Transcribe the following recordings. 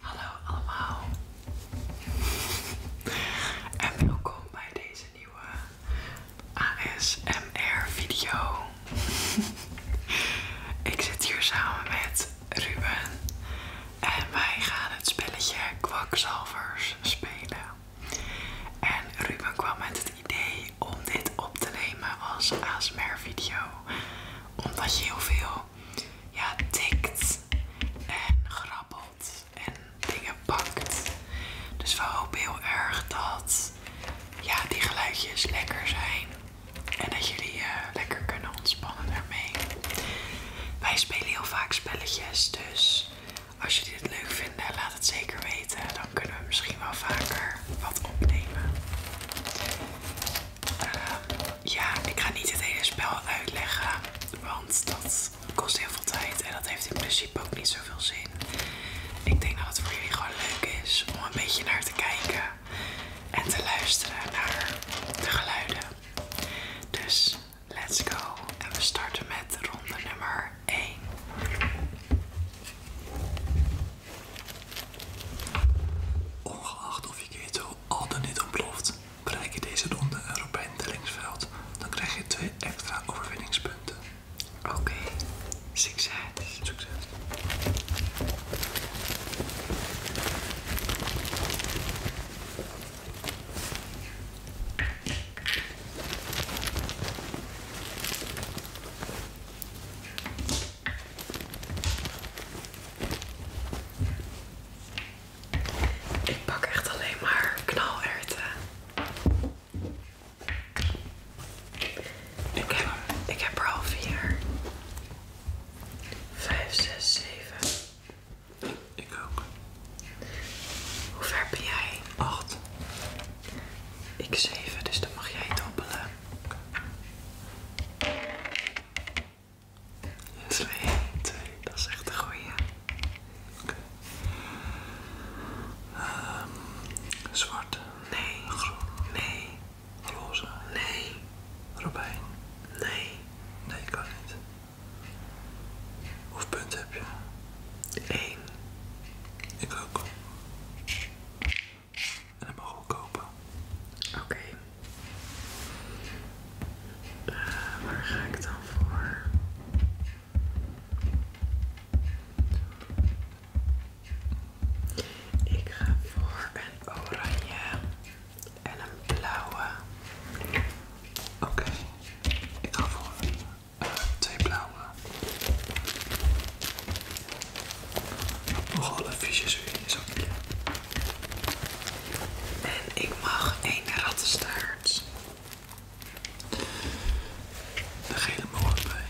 Hallo allemaal en welkom bij deze nieuwe ASMR video. Ik zit hier samen met Ruben en wij gaan het spelletje kwakzalvers spelen. En Ruben kwam met het idee om dit op te nemen als ASMR video omdat je heel veel ja, tikt en grappelt en dingen pakt. Dus we hopen heel erg dat ja, die geluidjes lekker zijn en dat jullie eh, lekker kunnen ontspannen daarmee. Wij spelen heel vaak spelletjes, dus als jullie dit leuk vinden, laat het zeker weten. Dan kunnen we misschien wel vaker wat opnemen ja, ik ga niet het hele spel uitleggen, want dat kost heel veel tijd en dat heeft in principe ook niet zoveel zin. Ik denk dat het voor jullie gewoon leuk is om een beetje naar te kijken en te luisteren naar de geluiden. Dus let's go en we starten met ronde nummer 1. Ongeacht of je keto al dan niet ontploft, Bereik je deze ronde een Robijn Dellingsveld, dan krijg je twee extra overwinningspunten. Oké, Succes. Ik pak echt alleen maar knalerwten. Ik heb, er al vier. Vijf, zes, zeven. Ik ook. Hoe ver ben jij? Acht. Ik zeven, dus dan mag jij dobbelen. Dat 2 twee. Dat is echt de goeie. Oké. Ehm, zwart. Nee. Groen. Nee. Roze. Nee. Robijn. Nee. Nee, kan niet. Hoeveel punt heb je? één. Ik ook. En hem mogen we kopen. Oké. Eh, waar ga ik dan voor? Ik ga voor een oranje en een blauwe. Oké, ik ga voor eh, twee blauwe. alle een weer in zakje. En ik mag één rattenstaart. De hele moord bij.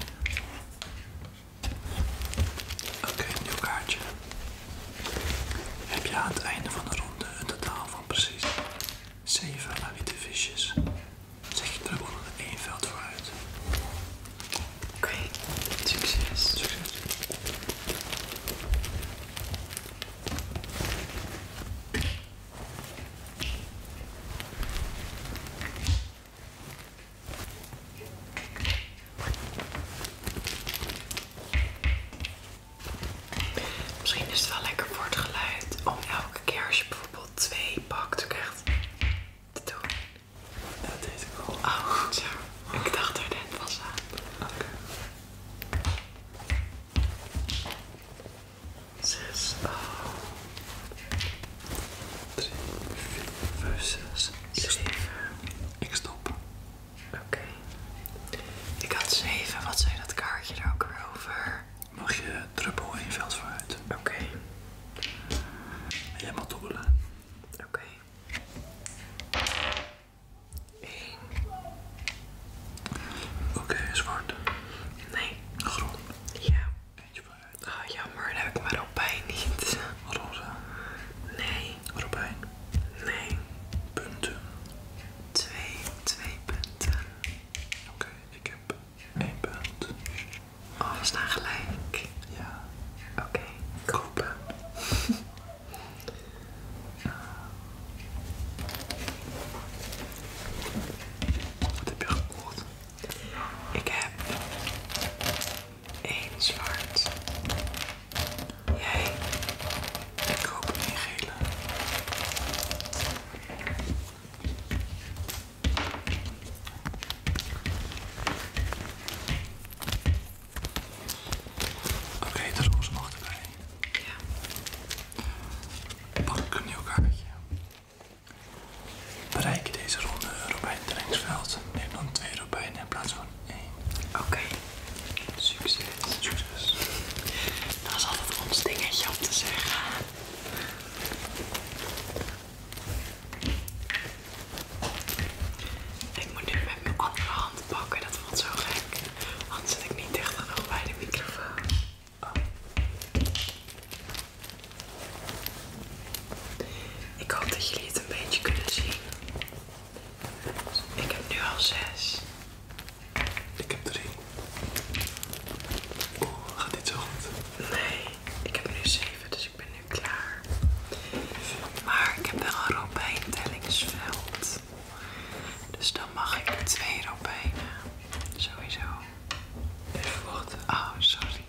Oké, een nieuw kaartje. Heb je aan het einde van de ronde een totaal van precies 7 witte visjes? Zet je terug onder één veld vooruit. Oké, succes. Succes. Misschien is het wel lekker voor geluid om elke keer als je bijvoorbeeld twee pakt ik echt te doen. Dat deed ik al. Oh, zo. Ik dacht er net was aan. Oké. Zes, ah. Drie, vier, vijf, zes, zeven. Ik stop. Oké. Ik had zeven. Wat zei dat kaartje er ook weer over? Mag je druppel in veld vooruit? Oké. Jij mag dobbelen. Oké. Oké, zwart. Nee. Groen. Ja. Eentje vooruit. Ah, jammer, heb ik mijn robijn niet. Roze. Nee. Robijn. Nee. Punten. Twee, twee punten. Oké, ik heb één punt. Alles oh, we staan gelijk. Ja. Oké. Okay. Kopen. Wat heb je Ik heb één zwart. Jij. Ik een gele. Oké, de roze mag erbij. Ja. Pak een nieuw kaartje. Bereik je deze ronde robijntrainingsveld. Neem dan twee robijnen in plaats van één. Oké. Succes. Succes. Dat is altijd ons dingetje om te zeggen. Ik moet dit met mijn andere hand pakken, dat voelt zo gek. Want zit ik niet dicht nog bij de microfoon. Oh. Ik hoop dat jullie het een beetje kunnen zien. Ik heb nu al zes. Ik heb drie. Oeh, gaat dit zo goed. Nee, ik heb nu zeven, dus ik ben nu klaar. Maar ik heb wel een het dus dan mag ik er twee erop bijna. Sowieso. Even wachten. Oh, sorry.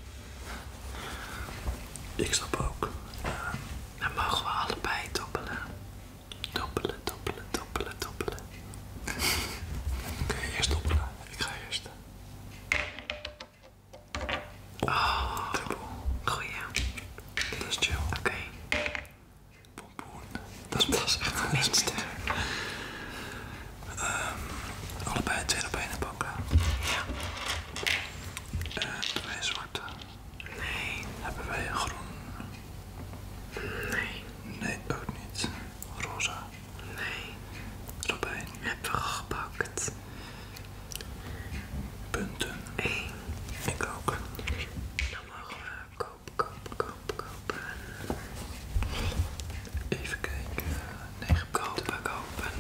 Ik stop ook. Eh, dan mogen we allebei doppelen. Doppelen, doppelen, doppelen, doppelen. oké je eerst doppelen? Ik ga eerst. Oh, dubbel. Goeie. Dat is chill. Oké. Pompoen. Dat is echt ehm, het minste. allebei twee op één pakken. Ja. wij twee zwarte. Nee. Hebben wij een groen? Nee. Nee, ook niet. Rosa? Nee. Robijn? Hebben we gepakt. Punten? Eén. Ik ook. Dan mogen we koop, koop, koop, kopen. Even kijken. Nee, kopen, kopen.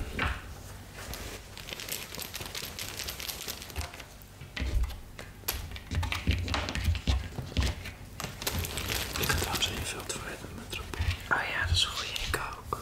Ik ga trouwens in je veld verder met troep. Oh ja, dat is goed, goede. Ik ook.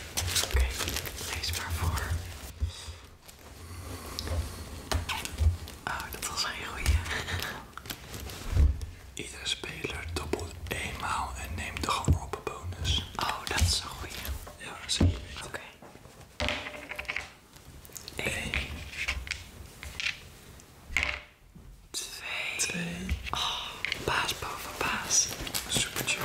Oké, deze lees maar voor. Oh, dat was een goeie. Iedere speler dobbelt eenmaal en neemt de geworpen bonus. Oh, dat is een goeie. Ja, dat is een Oké. Okay. Eén. Twee. Twee. Oh, baas boven Super chill.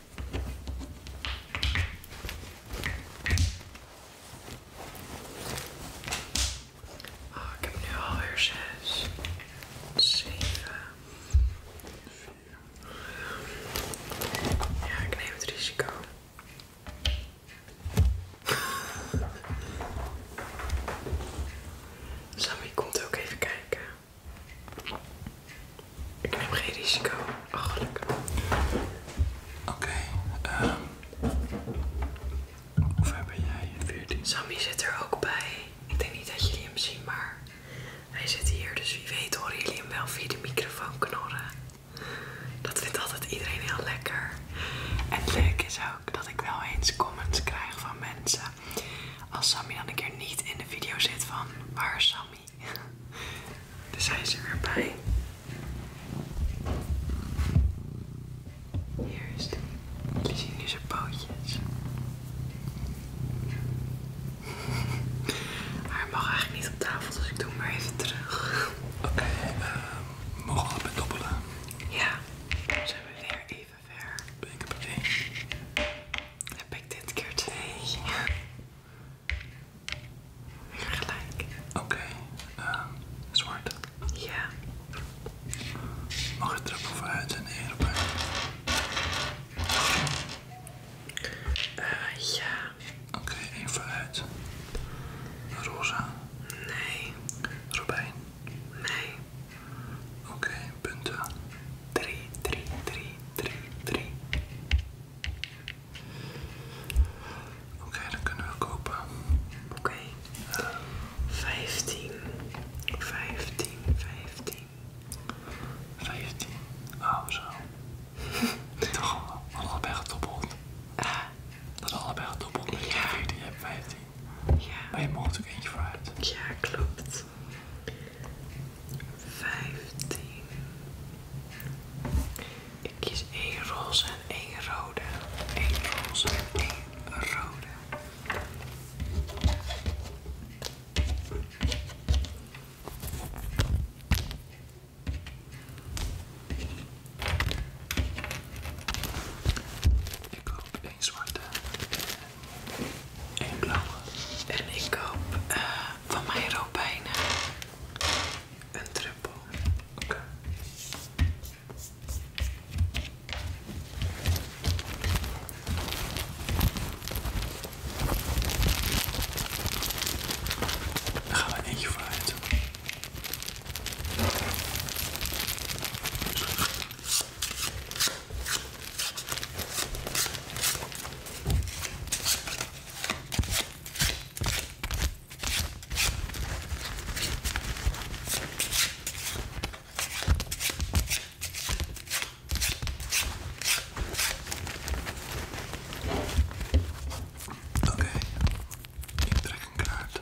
Ah, ik heb nu alweer zes, zeven, vier. Ja, ik neem het risico. Sammy komt ook even kijken. Ik neem geen risico. Ach Oké, ehm. Um, Hoeveel ben jij? 14. Sammy zit er ook bij. Ik denk niet dat jullie hem zien, maar hij zit hier. Dus wie weet horen jullie hem wel via de microfoon knorren. Dat vindt altijd iedereen heel lekker. En leuk is ook dat ik wel eens comments krijg van mensen. Als Sammy dan een keer niet in de video zit van waar Sammy? Daar zijn ze weer bij. Hier is het. Jullie zien nu zijn pootjes. Hij mag eigenlijk niet op tafel, dus ik doe hem maar even terug. Oké, ehm, mogen we allebei Ja, dan zijn we weer even ver. Ben heb ik dit keer twee? Ja, gelijk. Oké, ehm, zwart. Ja. Mag je erop hoeven uit te nemen, Ja. Oké, één vooruit. Roza. Nee. Robijn? Nee. Oké, punten. Drie, drie, drie. 3, 3. Oké, dan kunnen we kopen. Oké. 15, 15, 15. 15. Oh, zo. Toch al, allebei gedoppeld. Ah. dat allebei gedoppeld ja. je 14, hebt 15. Ja. Maar je mocht ook eentje vooruit. Ja, klopt vijftien. Ik kies één roze en één rode. Eén roze en één rode. Ik koop één zwarte en ik koop eh, van mijn bijna een trippel. Oké. gaan we eentje vooruit. Oké, ik trek een kaart.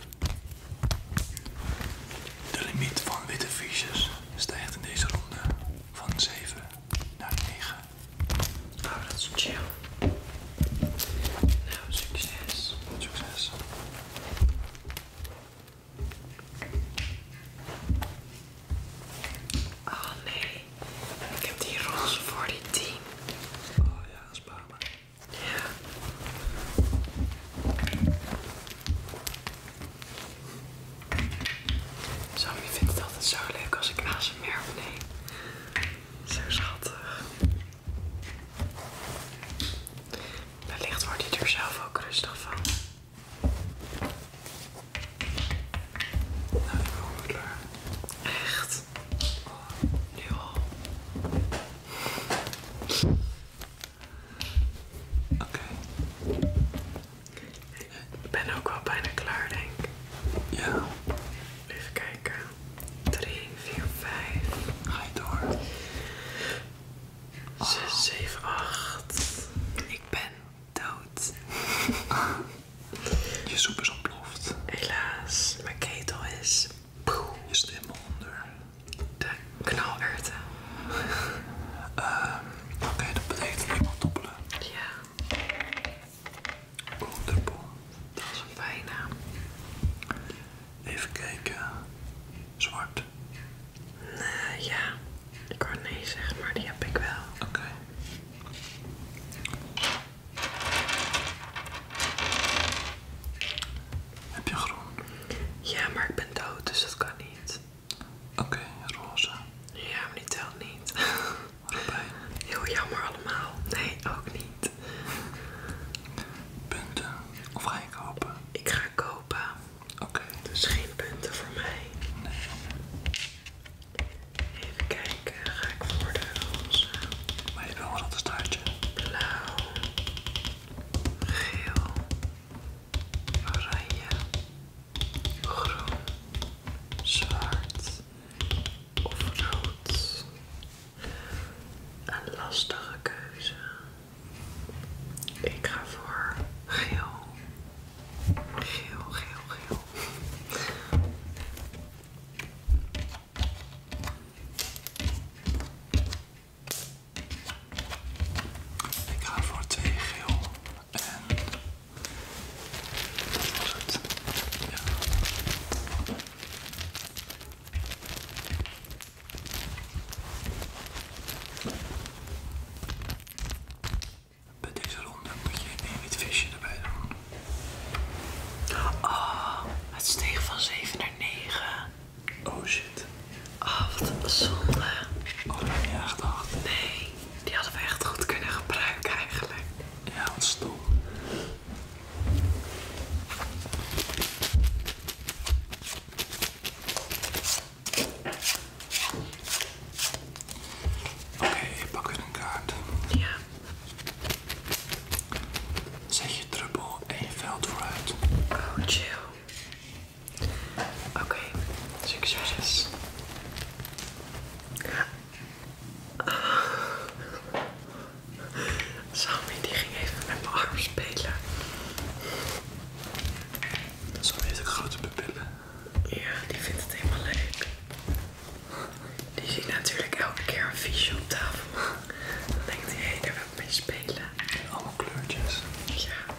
De limiet van witte fiches stijgt in deze ronde van 7 naar 9. Oh, nou, dat is chill. Nou, succes. Succes. Oh nee, ik heb die roze voor die 10. Oh ja, spaar maar. Ja. Sammy vindt het altijd zo leuk als ik naast hem nee Zo schattig. Wellicht wordt hij er zelf ook rustig van. Nou, ik Echt. nu al. Oké. Ik ben ook wel bijna klaar, denk ik. Ja. Even kijken. 3, 4, 5. Ga je door. 6, 7, 8. Ik ben dood. Je soep is ontploft. Helaas, mijn ketel is. Je zit helemaal onder. De knalurten. Ehm, oké, dat betekent helemaal toppelen. Ja. Boenderboel, dat is een bijnaam. Even kijken. Zwart. Nou ja, ik kan nee zeggen, maar die heb ik wel. Oké. Heb je groen? Ja, maar ik ben dood, dus dat kan niet. Oké, roze. Ja, maar die tel niet. Robijn. Heel jammer allemaal. Nee, ook niet. Punten. Of ga je kopen? Ik ga kopen. Oké. Dus geen punten voor mij. Nee. Even kijken, ga ik voor de roze. Maar je wil wel een staartje. Blauw. Geel. Oranje groen, zwart of rood. Een lastige keuze. Ik ga voor geel. Geel, geel, geel. Ik ga voor twee geel en dat was het. Ja. Bij deze ronde moet je even het visje erbij doen. Oh, het steeg van 7 naar 9. Oh shit. Oh, wat een zonde. Oh, dat heb je echt gedacht. Nee. Die hadden we echt goed kunnen gebruiken eigenlijk. Ja, wat stoel. Oké, ik pak weer een kaart. Ja. Zet je druppel en je veld vooruit. Oh, chill. Oké, succes. Sammy die ging even met mijn arm spelen. Sammy heeft ook grote pupillen. Ja, die vindt het helemaal leuk. Die ziet natuurlijk elke keer een visje op tafel. Dan denkt hij, hé, hey, daar wil ik mee spelen. En allemaal kleurtjes. Ja.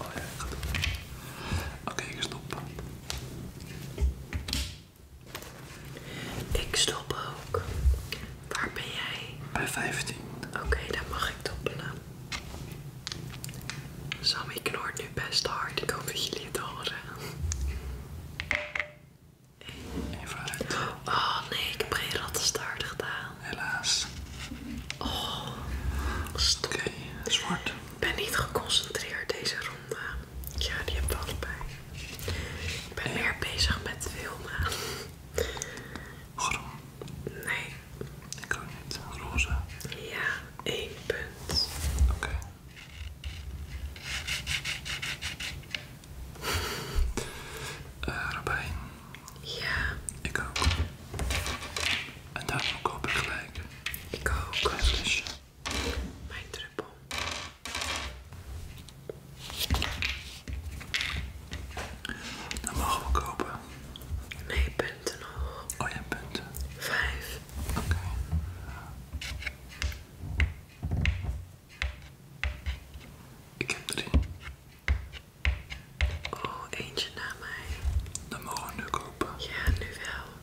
Oh ja, ik ga doen. Oké, ik stop. Ik stop ook. Waar ben jij? Bij 15. Oké, dan mag ik doppelen. Sammy knort nu best hard. Ik hoop dat jullie het horen. En vraag. Oh nee, ik heb geen rattenstaart gedaan. Helaas. Oh, Oké, zwart. Ik ben niet geconcentreerd deze ronde. Ja, die heb ik allebei. Ik ben meer bezig met filmen. Groen? Nee. Ik ook niet. Roze. Ja, één punt. Oké. Eh, Robijn. Ja. Ik ook. En daarom koop ik gelijk. Ik ook. Een mijn druppel. Dan mogen we kopen. Nee, punten nog. Oh ja, punten. Vijf. Oké. Ik heb drie. Oh, eentje na mij. Dan mogen we nu kopen. Ja, nu wel.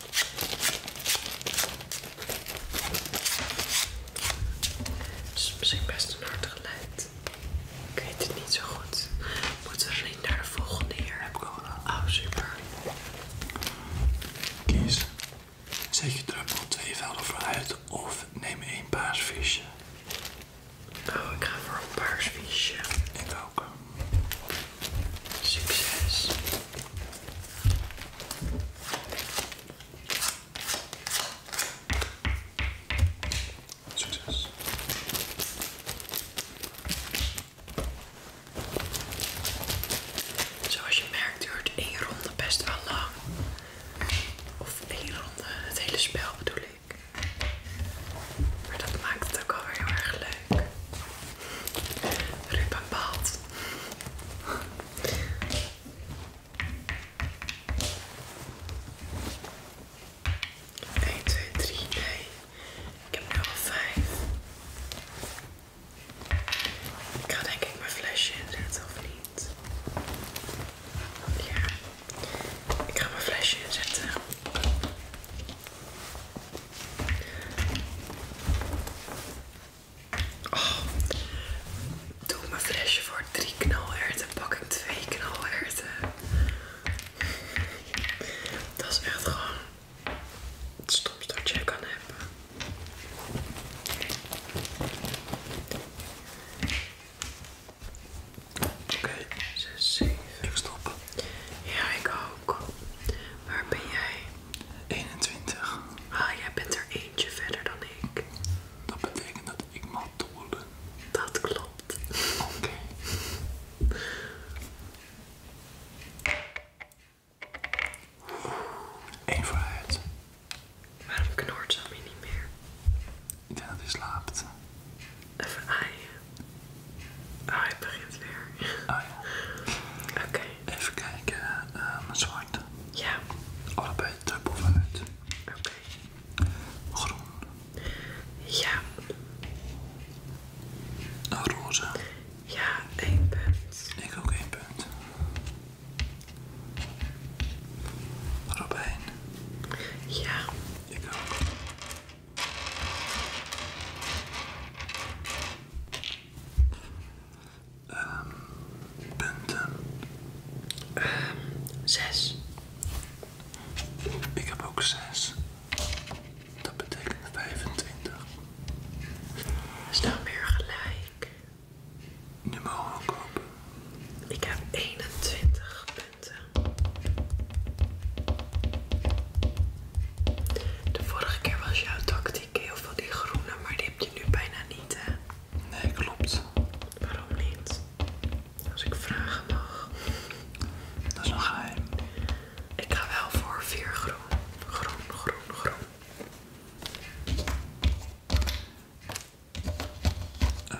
Het is misschien best een hard geluid. Ik weet het niet zo goed. Moeten we naar de volgende hier? Heb ik al Oh, super. Kies. Zet je druppel twee velden vooruit of neem één paars visje. Oh, ik ga voor een paars visje. Ik ook. Succes! Zoals je merkt duurt één ronde best wel lang. Of één ronde, het hele spel bedoel ik. Maar dat maakt het ook alweer heel erg leuk. Ruben bepaalt. 1, 2, 3, 4. Ik heb er al vijf. Ik ga, denk ik, mijn flesje inzetten of niet? Ja. Ik ga mijn flesje inzetten. Oké. Oh. Doe mijn flesje voor drie knalerten. Pak ik twee knalerten. Dat is echt gewoon het stomste dat je kan hebben. Oké, zeven. 7. Ik stop. Ja, ik ook. Waar ben jij? 21. Ah, jij bent er eentje verder dan ik. Dat betekent dat ik mag doelen. Dat klopt. Oké. Eén vooruit. Waarom knort ze mij niet meer? Ik denk dat hij slaapt. Even ai. Oh, het begint weer. Oh ja. Oké. Even kijken, uh, eh, zwart. Ja. Allebei dubbel het. Oké. Groen. Ja. Roze. Ja, één punt. Ik ook één punt. Robijn. Ja. Ik ook. Um, punten. Um, zes. Ik heb ook zes. Dat betekent 25. Dus dan weer gelijk. Nu mogen Ik heb 21 punten. De vorige keer was jouw tactiek heel veel die groene, maar die heb je nu bijna niet, hè? Nee, klopt. Waarom niet? Als ik vragen mag. Dat is nog Ik ga wel voor vier groen. Groen, groen, groen. Eh.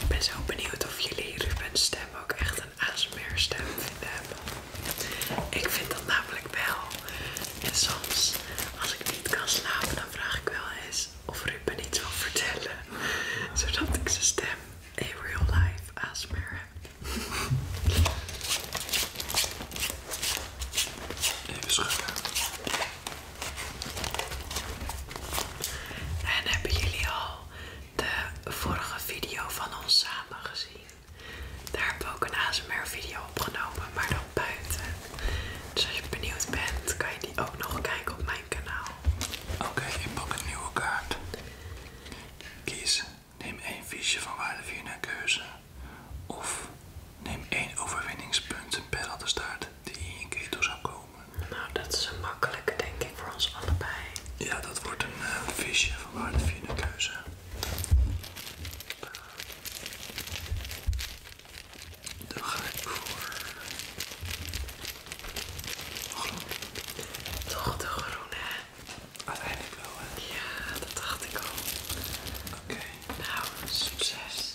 Ik ben zo benieuwd of jullie Ruben's stem ook echt een ASMR stem vinden hebben. Ik vind dat namelijk wel. En soms, als ik niet kan slapen, dan vraag ik wel eens of Ruben iets wil vertellen. Zodat ik zijn stem in real life ASMR heb. Even schudden. En hebben jullie al de vorige video van ons samen gezien? Daar hebben we ook een ASMR video opgenomen, maar dan buiten. Dus als je benieuwd bent, kan je die ook nog kijken op mijn kanaal. Oké, ik pak een nieuwe kaart. Kies, neem één visje van waarde 4 naar keuze. Of neem één overwinningspunt en Perl de staart die in je ketel zou komen. Nou, dat is een makkelijke denk ik voor ons allebei. Ja, dat wordt een eh, visje van waar keuze. Dan ga ik voor... Groen. Toch de groene? Uiteindelijk wel, hè? Ja, dat dacht ik al. Oké. Nou, succes.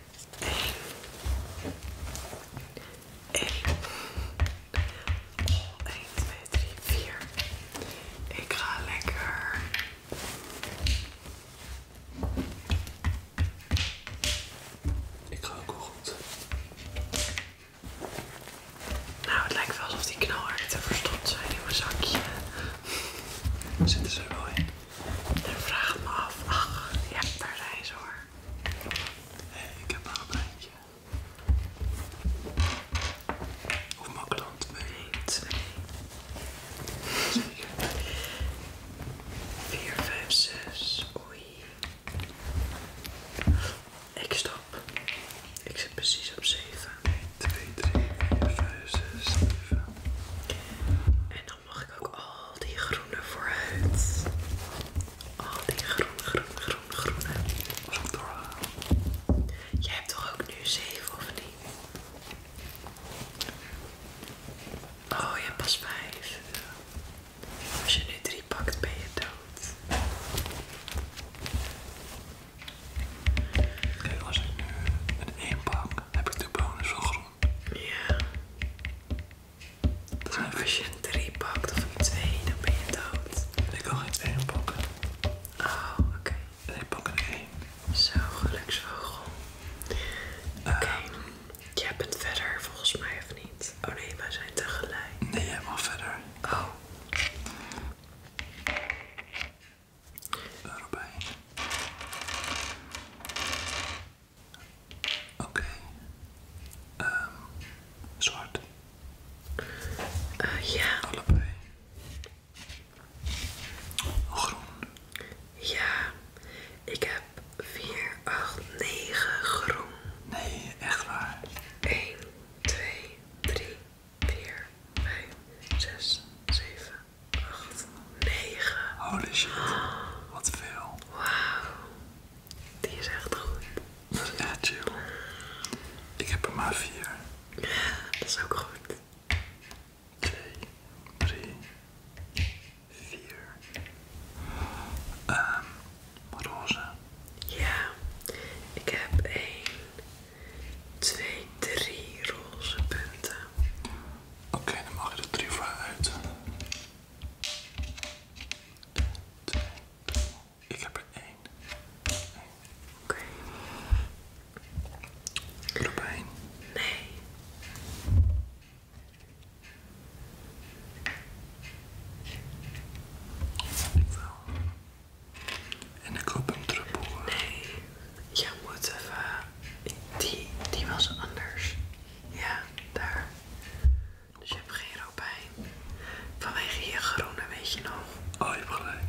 1, 2, 3, 4. Ik ga lekker. Ik ga ook goed. Nou, het lijkt wel alsof die knalharten verstopt zijn nieuwe zakje. Zitten ze er wel in? En vraag me af. Ach, ja, daar zijn ze hoor ik heb een pleintje. Of mijn klant weet. 2, 4, 5, 6. Oei. Ik stop. Ik zit precies op zeven. 1, twee, 3, 4, 5, 6, 7. En mag ik ook al die groene vooruit. Al die groene, groene, groene, groene. Jij hebt toch ook nu 7 of niet? Oh, je hebt pas 5. Als je nu 3 pakt, ben je dood. Kijk, als ik nu een één pak, heb ik de bonus van groen. Ja. Als je een 3 pakt of een 2, dan ben je dood. Ik kan geen 2 pakken. Oh, oké. En ik pak een 1. Zo, geluksvogel. Eh. Oké. Okay. Um, jij bent verder volgens mij of niet? Oh nee, wij zijn tegelijk. Nee, jij mag verder. Oh. Robijn. Oké. Ehm, zwart. Eh, ja. Groen. Ja. Ik heb vier, acht, negen groen. Nee, echt waar. 1, 2, 3, 4, 5, 6, 7, 8, 9. Holy shit. Wat veel. Wauw. Die is echt goed. Dat is echt chill. Ik heb er maar vier. Dat is ook goed. Twee, drie, vier. Um, ehm, roze. Ja, ik heb één, twee, drie roze punten. Oké, dan mag je er drie voor uit. Ik heb er één. Oké. Okay. Nee. En ik hoop hem terug Nee. Je moet even. Die, die was anders. Ja, daar. Dus je hebt geen robijn. Vanwege je groene, weet je nog. Oh, je hebt gelijk.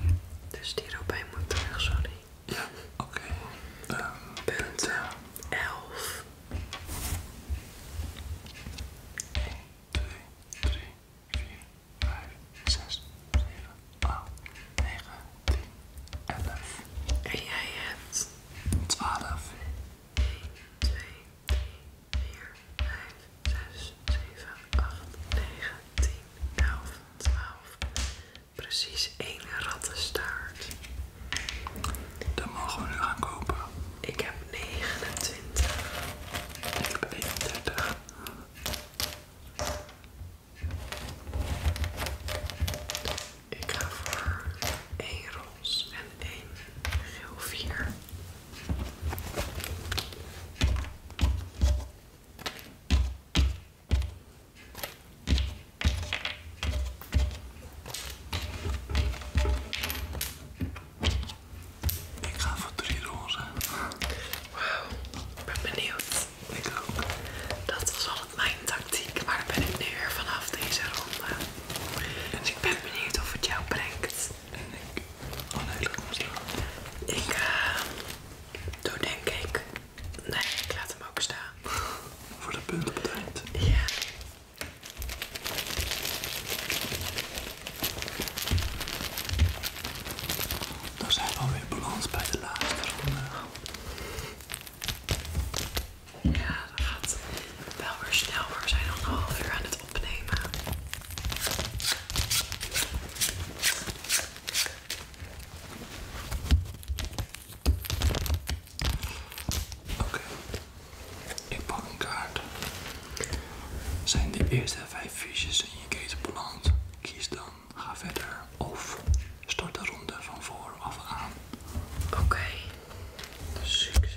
Dus die robijn moet terug, sorry. Ja, oké. Ehm, Punt 11. 1, 2, 3, 4, 5, 6, 7, 8, 9, 10, 11. En jij hebt 12. 1, 2, 3, 4, 5, 6, 7, 8, 9, 10, 11, 12. Precies één rattenstaart. Dat mogen we nu gaan kopen. Ik heb 29. Ik heb 31. Ik ga voor één roze en één geel vier. Ik ga voor drie rozen. Wauw, ik ben benieuwd. Ik ook. Dat was altijd mijn tactiek, maar daar ben ik nu weer vanaf deze ronde. Dus ik ben benieuwd of het jou brengt. En ik... Oh nee, dat moest Ik... Eh, doe denk ik... Nee, ik laat hem ook staan. Voor de punt op Ja. Dan zijn we alweer balans bij de laatste ronde. Ja, dat gaat wel weer snel, maar we zijn al een half uur aan het opnemen. Oké, ik pak een kaart. Zijn de eerste 5 fiches in je keten beland? Kies dan, ga verder of start de ronde van voor af aan. Oké, succes.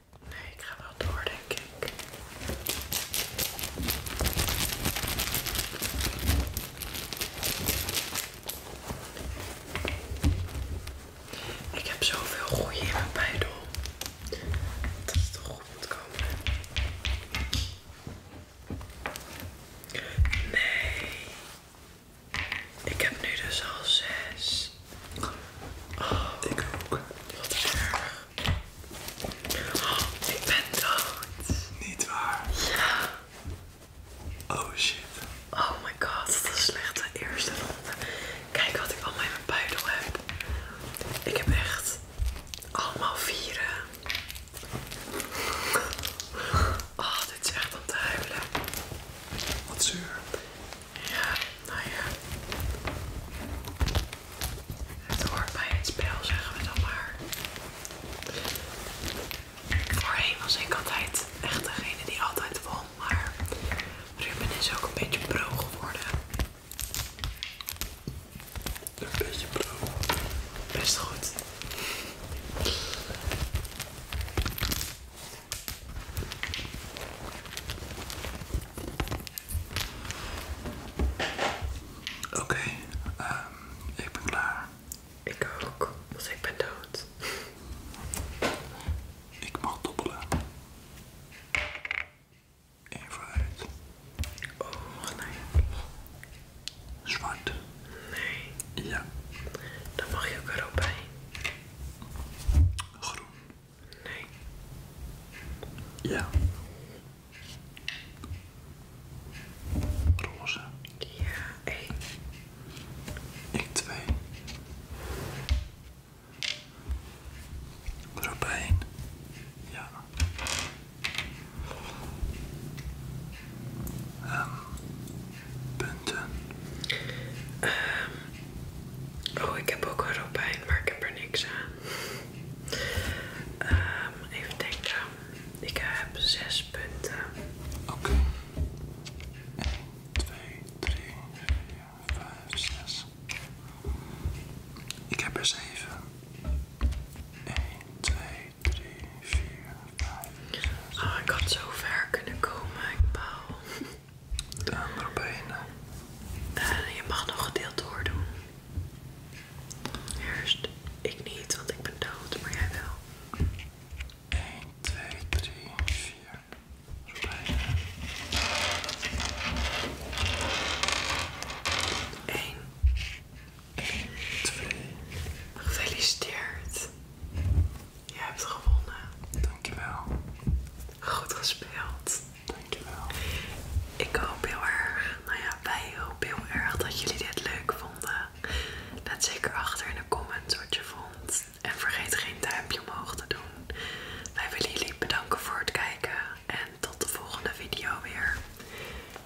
Nee, ik ga wel door, denk ik. Ik heb zoveel goeie in mijn buidel. Dat is toch goed moet komen. Nee. Ik heb nu dus al zes. Oh, ik ook. Wat erg. Ik ben dood. Niet waar? Ja. Oh shit. Oh my god, dat is slecht de eerste ronde. Kijk wat ik allemaal in mijn buidel heb. Ik heb echt allemaal vieren. Oh, dit is echt om te huilen. Wat zuur. Ja, nou ja. Het hoort bij het spel, zeggen we dan maar. Voorheen was ik altijd echt degene die altijd won, maar Ruben is ook een beetje pro geworden. Een beetje pro. Best goed. Oké, ehm, ik ben klaar. Ik ook, dus ik ben dood. Ik mag dobbelen. Eén vooruit. Oh, nee. Zwart. Nee. Ja. Dan mag je ook erop bij. Groen. Nee. Ja. Roze. Ja, één. Ik twee. Robijn. Ja. Ehm, punten. Ehm, Oh, ik heb ook hoofdpijn, maar ik heb er niks aan. Ehm, even denken. Ik heb zes punten. Oké. 1, 2, 3, 4, 5, 6. Ik heb er 7. 1, 2, 3, 4, 5. Oh, ik had zo ver kunnen komen, ik baal. De andere benen. Eh, je mag nog gedeeld doordoen. Eerst, ik niet, want ik ben dood, maar jij wel. 1, 2, 3, 4. Robijnen. 1. 1, 2. Gefeliciteerd. Je hebt gewonnen. Dankjewel. Goed gespeeld. Dankjewel. Ik hoop heel erg, nou ja, wij hopen heel erg dat jullie dit leuk vonden. Laat zeker achter in de comments wat je vond. En vergeet geen duimpje omhoog te doen. Wij willen jullie bedanken voor het kijken. En tot de volgende video weer.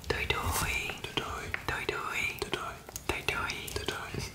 Doei doei. Doei doei. Doei doei. Doei doei. Doei doei. doei, doei.